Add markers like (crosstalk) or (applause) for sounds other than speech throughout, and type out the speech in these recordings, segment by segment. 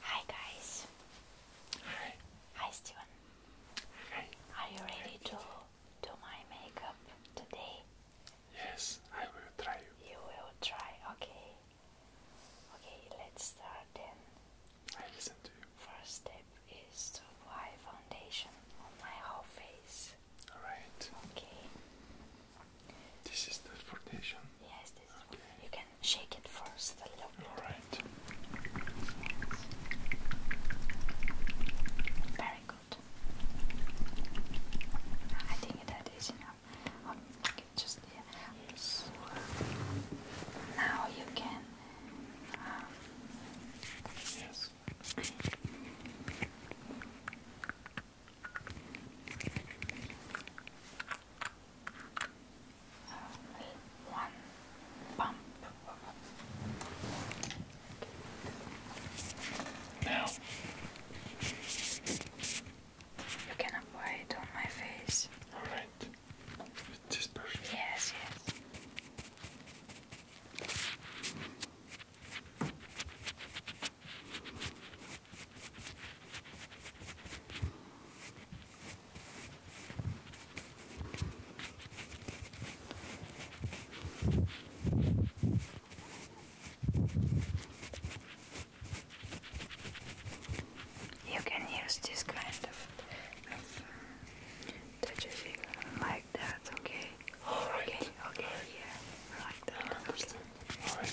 Hi guys. Hi. Hi Steven. Hi. Are you ready to do my makeup today? Yes, I will try you. will try, okay. Okay, let's start then. I listen to you. First step is to apply foundation on my whole face. Alright. Okay. This is the foundation. Yes, this okay. you can shake it first a little bit. Very good. I think that is enough. Um, just yeah. Yes. Now you can um, yes one pump. Now you can apply it on my face. Alright. With this brush? Yes, yes. You can use this kind of, of like that, okay? All right. Okay, okay, yeah. Right, I understand. All right.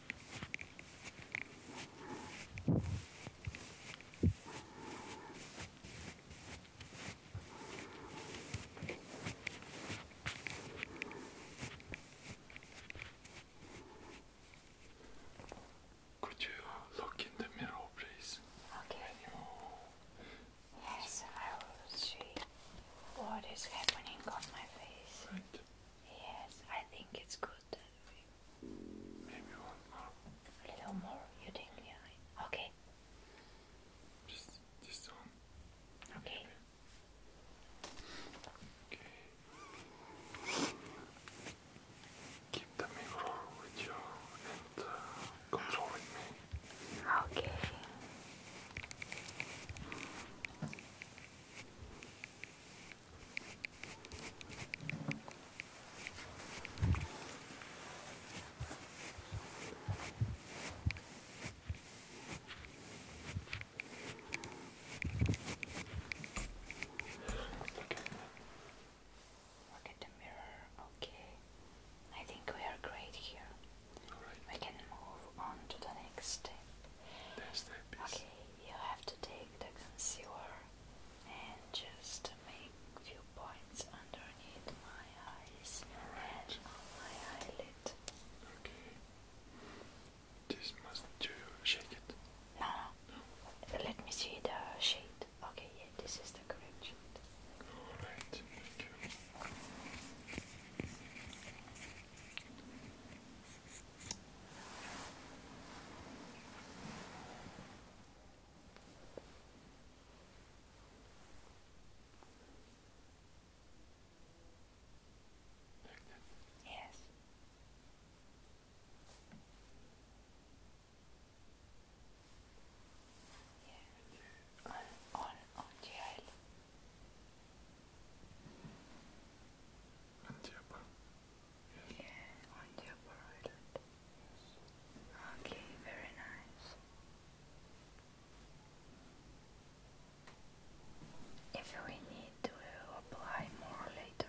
Could you look in the mirror, please? Okay. Yes, I will see what is happening on my face. Right. Yes, I think it's good Maybe you more. A little more, you think? Yeah. Okay. Just this one. Okay. Okay. Keep the mirror and uh, controlling me. Okay. Look at the mirror. Okay. I think we are great here. We can move on to the next step. okay you have to take the concealer and just make few points underneath my eyes and on my eyelid. Okay. This must do shake it. No, no. Let me see the shade. Okay, yeah, this is the correct shade. Alright, thank you. Yes. Yeah. On on the aisle. On Diablo. Yes. Yeah, on Diablo Island. Yes. Okay, very nice. If we need to apply more later.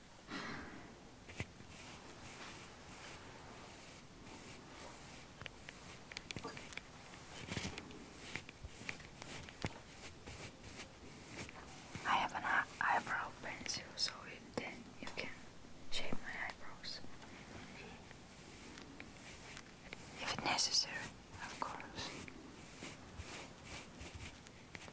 I have an eyebrow pencil, so then you can shape my eyebrows if necessary, of course.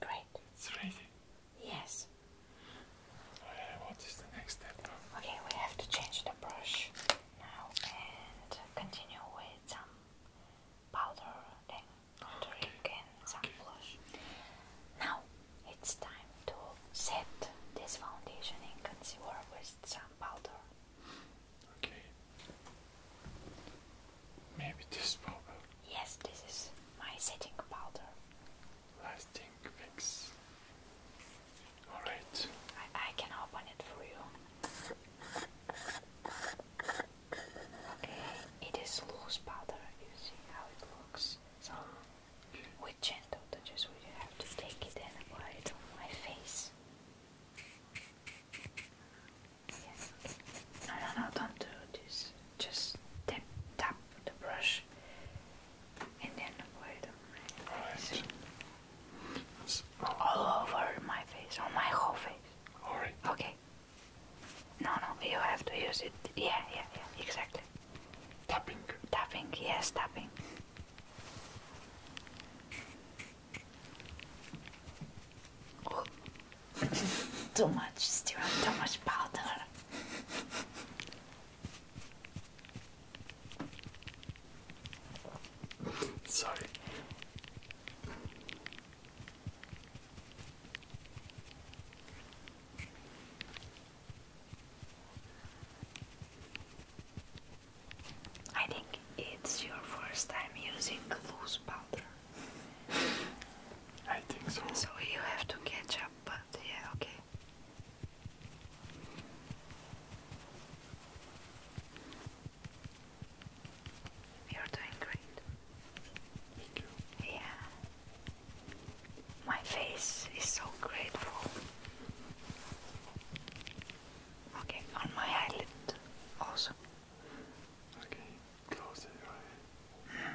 Great. Yes. Okay, uh, what is the next step? Okay, we have to change the brush now and continue with some powder, then contouring some blush. Now it's time to set this foundation in concealer with some powder. Okay. Maybe this powder. Yes, this is my setting powder. Lasting fix. Alright. I, I can open it for you. Okay, it is loose powder. You see how it looks. So, with gentle touches, we have to take it and apply it on my face. No, no, no, don't do this. Just tap, tap the brush and then wait on my All over my face, on my whole face. Alright. Okay. No, no, you have to use it. Yeah, yeah, yeah, exactly. Tapping. Tapping, yes, tapping too much still too much powder. Sorry. I think it's your first time using loose powder. I think so. So you have to catch up, but yeah, okay. You're doing great. Thank you. Yeah. My face is so grateful. Okay, on my eyelid also. Okay, close your eye. Mm.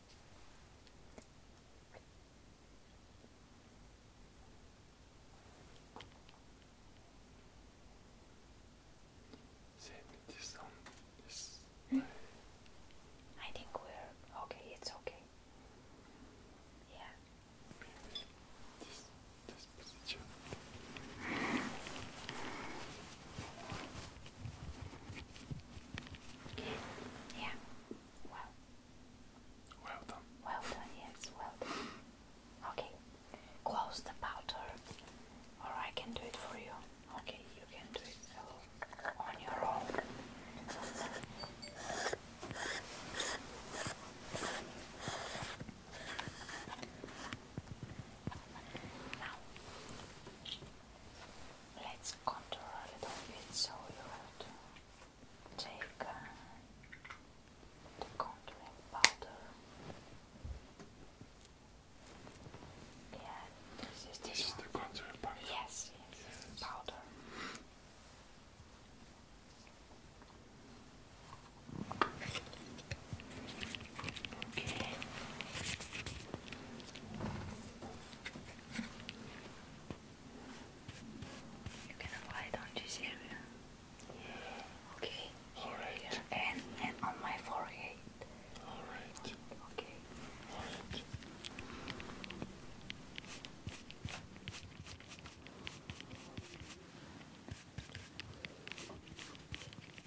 Send this I think we're okay, it's okay. Yeah. Yeah. Well. Well done. Well done. Yes. Well done. Okay. Close the powder, or I can do it for you. Okay, you can do it on your own. Now, Let's contour a little bit so you have to take uh, the contouring powder. Yeah, this is, the contouring powder. Yes, yes, yes. powder. Okay. You can apply it on this area. Yeah. Okay. All right. And and on my forehead. All right. Okay. All right.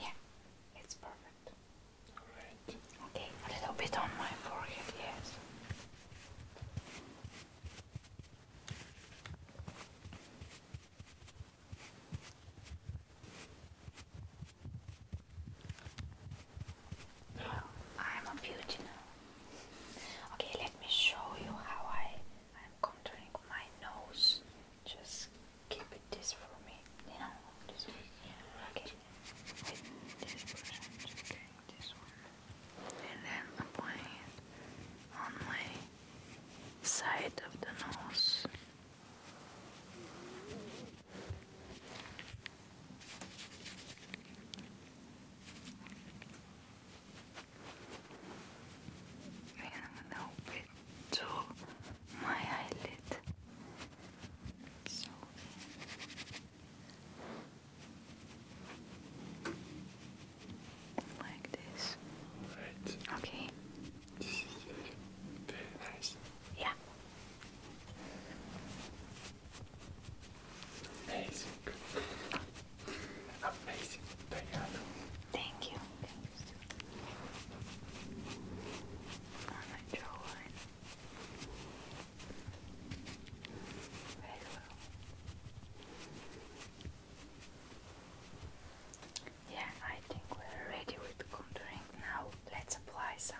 Yeah, it's perfect. Alright. Okay, a little bit on my forehead, yes. No. I'm a beauty now. Okay, let me show you how I am contouring my nose. Just keep it this for me. You know, Okay. just getting And then applying it on my side of the nose and help it to my eyelid. So like this. Right. Okay. This is very nice. Yeah. Thank you. Yeah, I think we're ready with contouring now. Let's apply some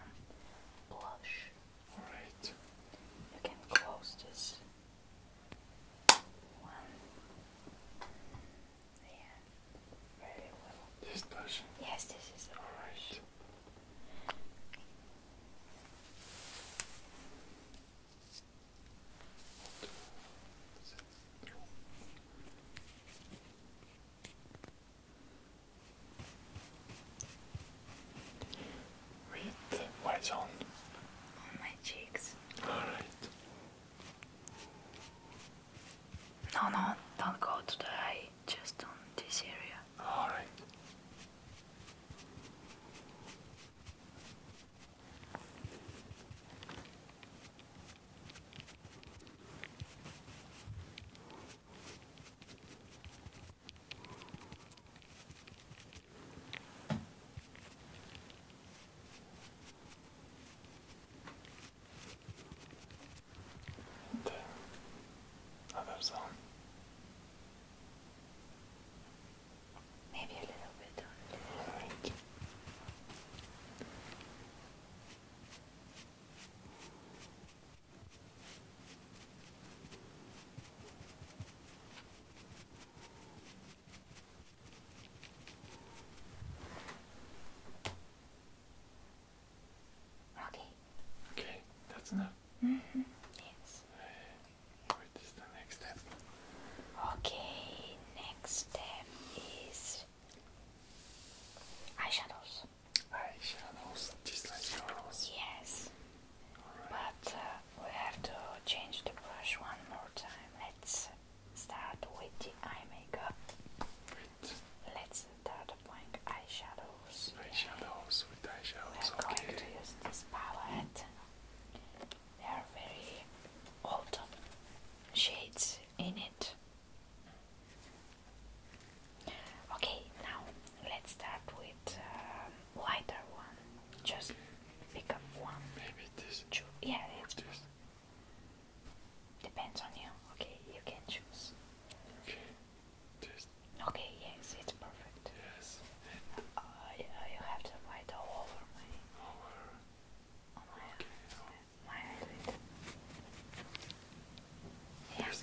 blush. Alright. You can close this one. There. Very well. This person? Yes, this is the brush with what's on? On my cheeks. Alright. No, no, don't go to the eye, just on this area. Alright. 对，how about some? Maybe a little bit Okay. Okay, that's enough. Mm-hmm. Yes. What is the next step? Okay, next step is eyeshadows. Eyeshadows, just like yours. Yes but uh, we have to change the brush one more time. Let's start with the eye makeup. Right. Let's start applying eyeshadows. Eyeshadows with eyeshadows. We're okay. going to use this palette. There are very old shades in it. Okay, now let's start with uh, lighter one. Just pick up one. Maybe this. Cho yeah, it's this. Depends on you. Okay, you can choose. Okay. This. Okay. Yes, it's perfect. Yes. Uh, you, have to light all over my. Over. my. eyelid. Yes.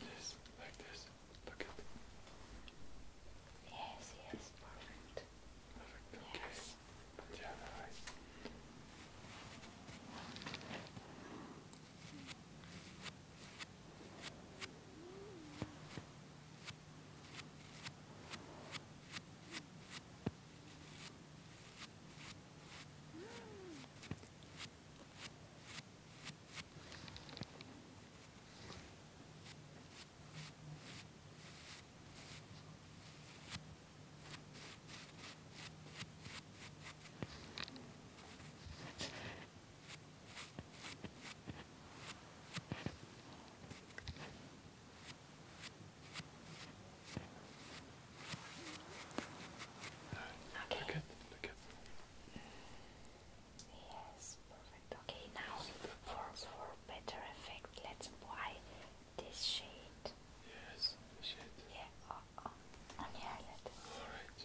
This, like this. Look at. Yes, yes, perfect. Perfect. Okay. Yes. Yeah, Okay. Look at, look at. Yes, perfect. Okay, now for for better effect, let's apply this shade. Yes, shade. Yeah, uh, uh, on, on, on the eyelid. All right.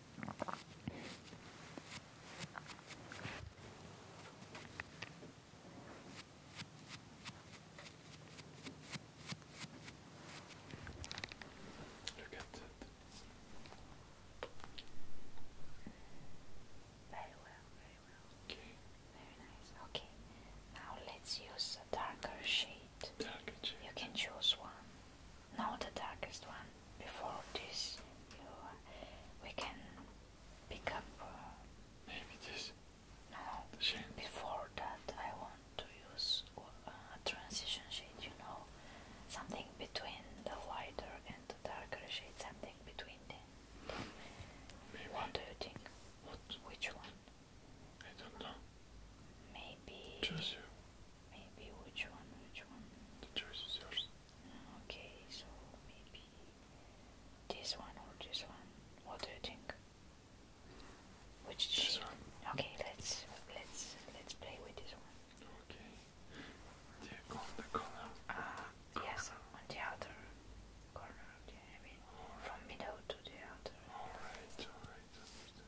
Look at that. Very well, very well. Okay. Very nice. Okay. Now let's use a darker shade. Darker shade. You can choose one. No, the darkest one before this you, uh, we can pick up uh, maybe this no the shade. before that I want to use uh, a transition shade you know something between the lighter and the darker shade something between them what do you think what which one I don't know maybe choose you Maybe which one? Which one? The choice is yours. Ah, okay, so maybe this one or this one. What do you think? Which this shape? One. Okay, let's let's let's play with this one. Okay. Yeah, on the corner. Ah, uh, yes, on the outer corner. Yeah, I mean, all from right. middle to the outer. All right, all right, understand.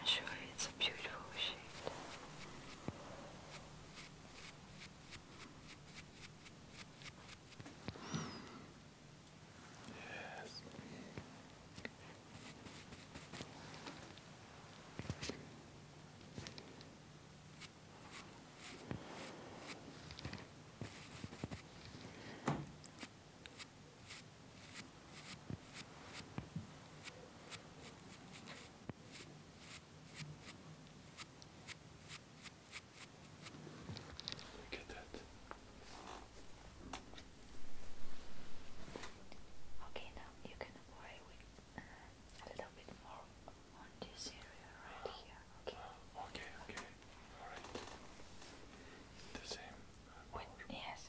I'm sure it's a beautiful shape. Yes. Look at that. Okay, now you can apply with uh, a little bit more on this area right here. Okay. Okay. Okay. All right. The same. yes.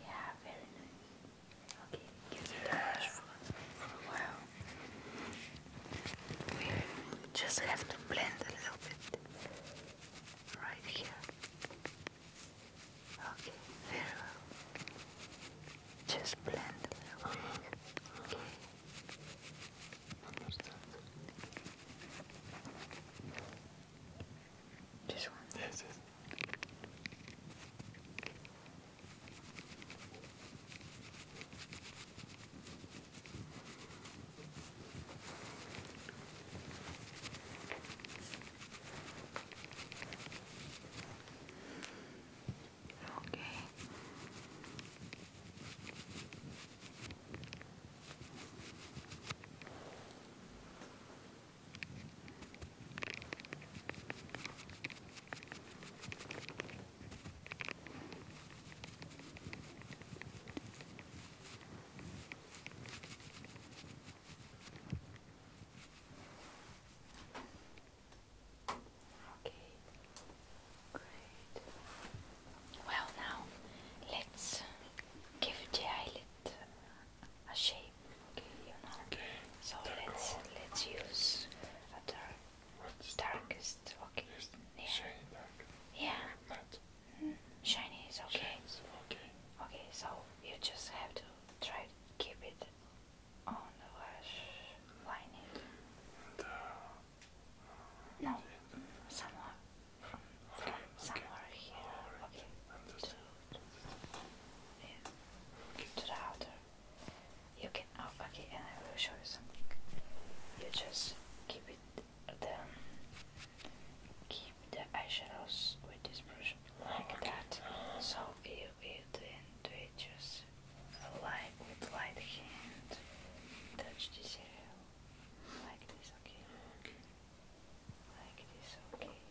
Yeah, very nice. Okay, give it a rush for, a while. We just have to blend a little bit right here. Okay, very well. Just blend a little bit. Okay. Just one? Yes, Okay. Okay, great. Well, now let's give the a shape. Okay, you know. Okay. So let's let's use a dark, What's darkest. Okay. Yeah. Shiny dark. Yeah. Matte. Mm, shiny is okay. Okay. Okay. So you just have to try to keep it on the lash line. It. And, uh, no. Somewhere. From, somewhere here. Okay yeah, to the outer. You can, oh, okay, and I will show you something. You just keep it, the, um, keep the eyeshadows with this brush like that. So you, you then do it just like with light hand. Touch this area like this, okay? Like this, okay?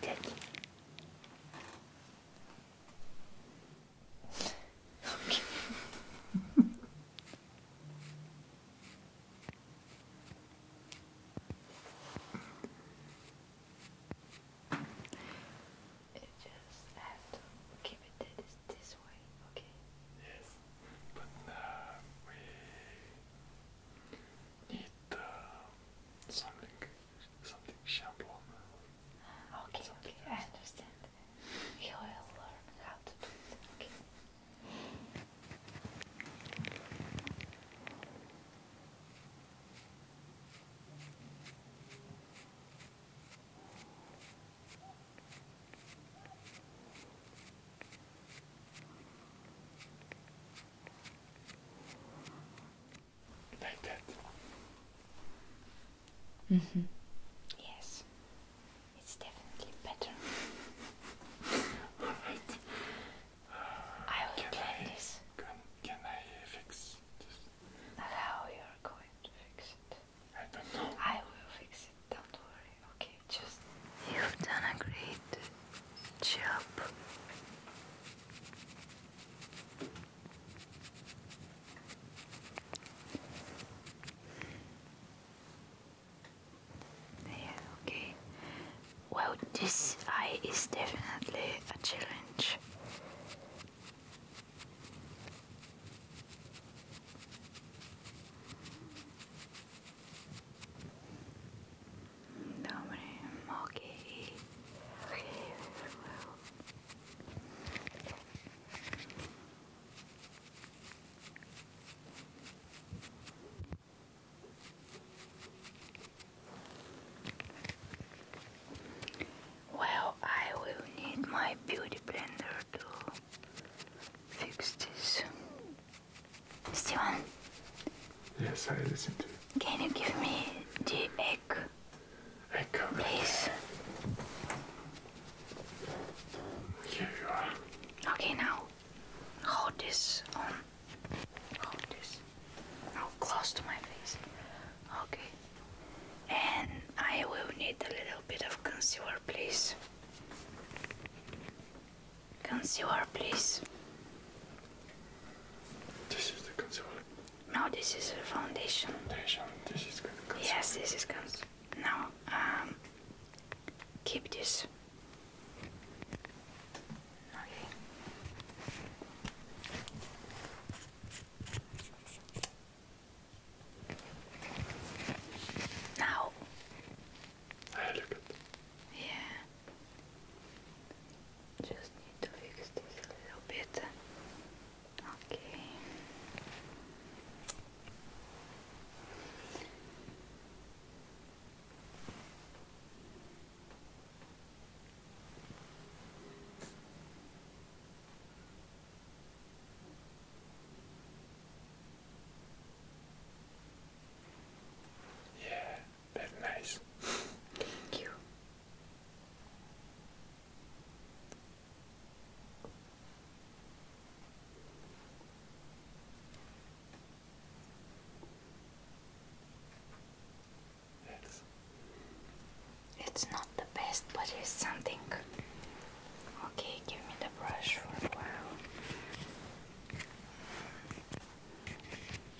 Take that. Okay. it just have to keep it this, this way, okay? Yes, but now we need uh, something, something shampoo. Okay, okay, I understand. He will learn how to do it. Okay. Like that. Mm -hmm. Yes, it's definitely better. (laughs) Alright. I will can this. Can, I fix this? How you are going to fix it? I don't know. I will fix it, don't worry. Okay, just. You've done a great chip. Yeah, okay. Well, this eye is definitely a challenge. Okay, Well, I will need my beauty blender to fix this. Did Yes, I listened to Can you give me the egg? Echo. Please. Here you are. Okay, now hold this on. Hold this. Now close to my face. Okay. And I will need a little bit of concealer, please. Concealer, please. This is the concealer. No, this is the foundation. Foundation. This is good. Concealer. Yes, this is concealer. Now, um, keep this. Okay. Now. I look at. Yeah. Just need to fix this a little bit. Okay. Yeah, that's nice. Thank you. Yes. It's not the best, but it's something. Okay, give me the brush for a while.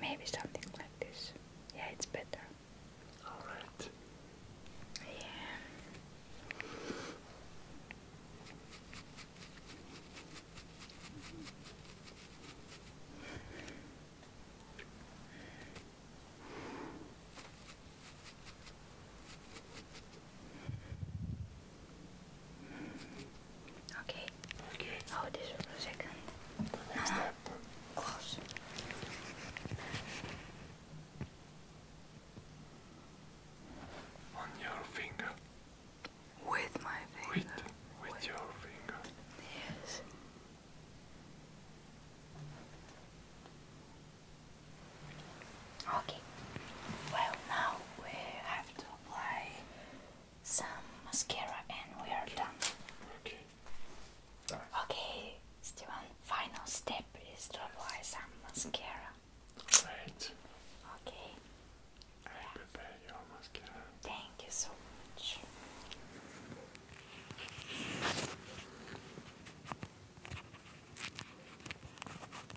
Maybe something like this. Yeah, it's better. Alright. Yeah. Okay. Okay. Hold oh, this for second. No, uh-huh. Close. On your finger. With my finger. With, with, with. your finger. Yes. Okay, well, now we have to apply some mascara and we are done. Okay. All right. Okay, Steven, final step is to apply some mascara. Right. Okay. I yeah. prepare your mascara. Thank you so much.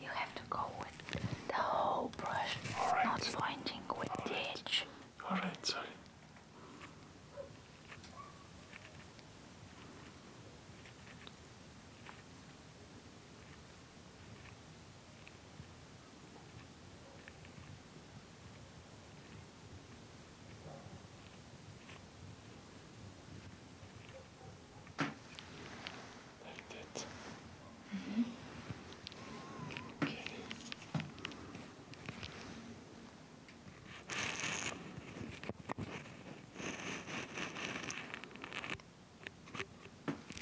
you have to go with the whole brush, not pointing with the edge. Alright, sorry. Like that. Mm -hmm. Okay.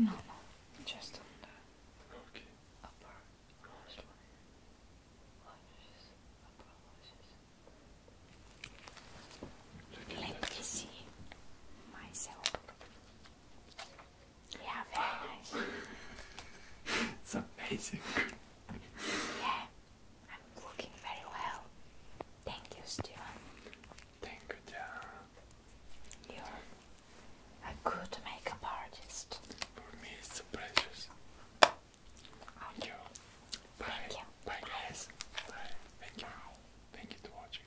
No, no, just on the upper lashes. Lashes, upper lashes. Let me see myself. Yeah, very nice. it's amazing. yeah, I'm looking very well. Thank you, Steven. Thank you, John. You're a good makeup artist. For me, it's a pleasure. Thank you. Bye. Bye, guys. Bye. Thank you. Thank you for watching.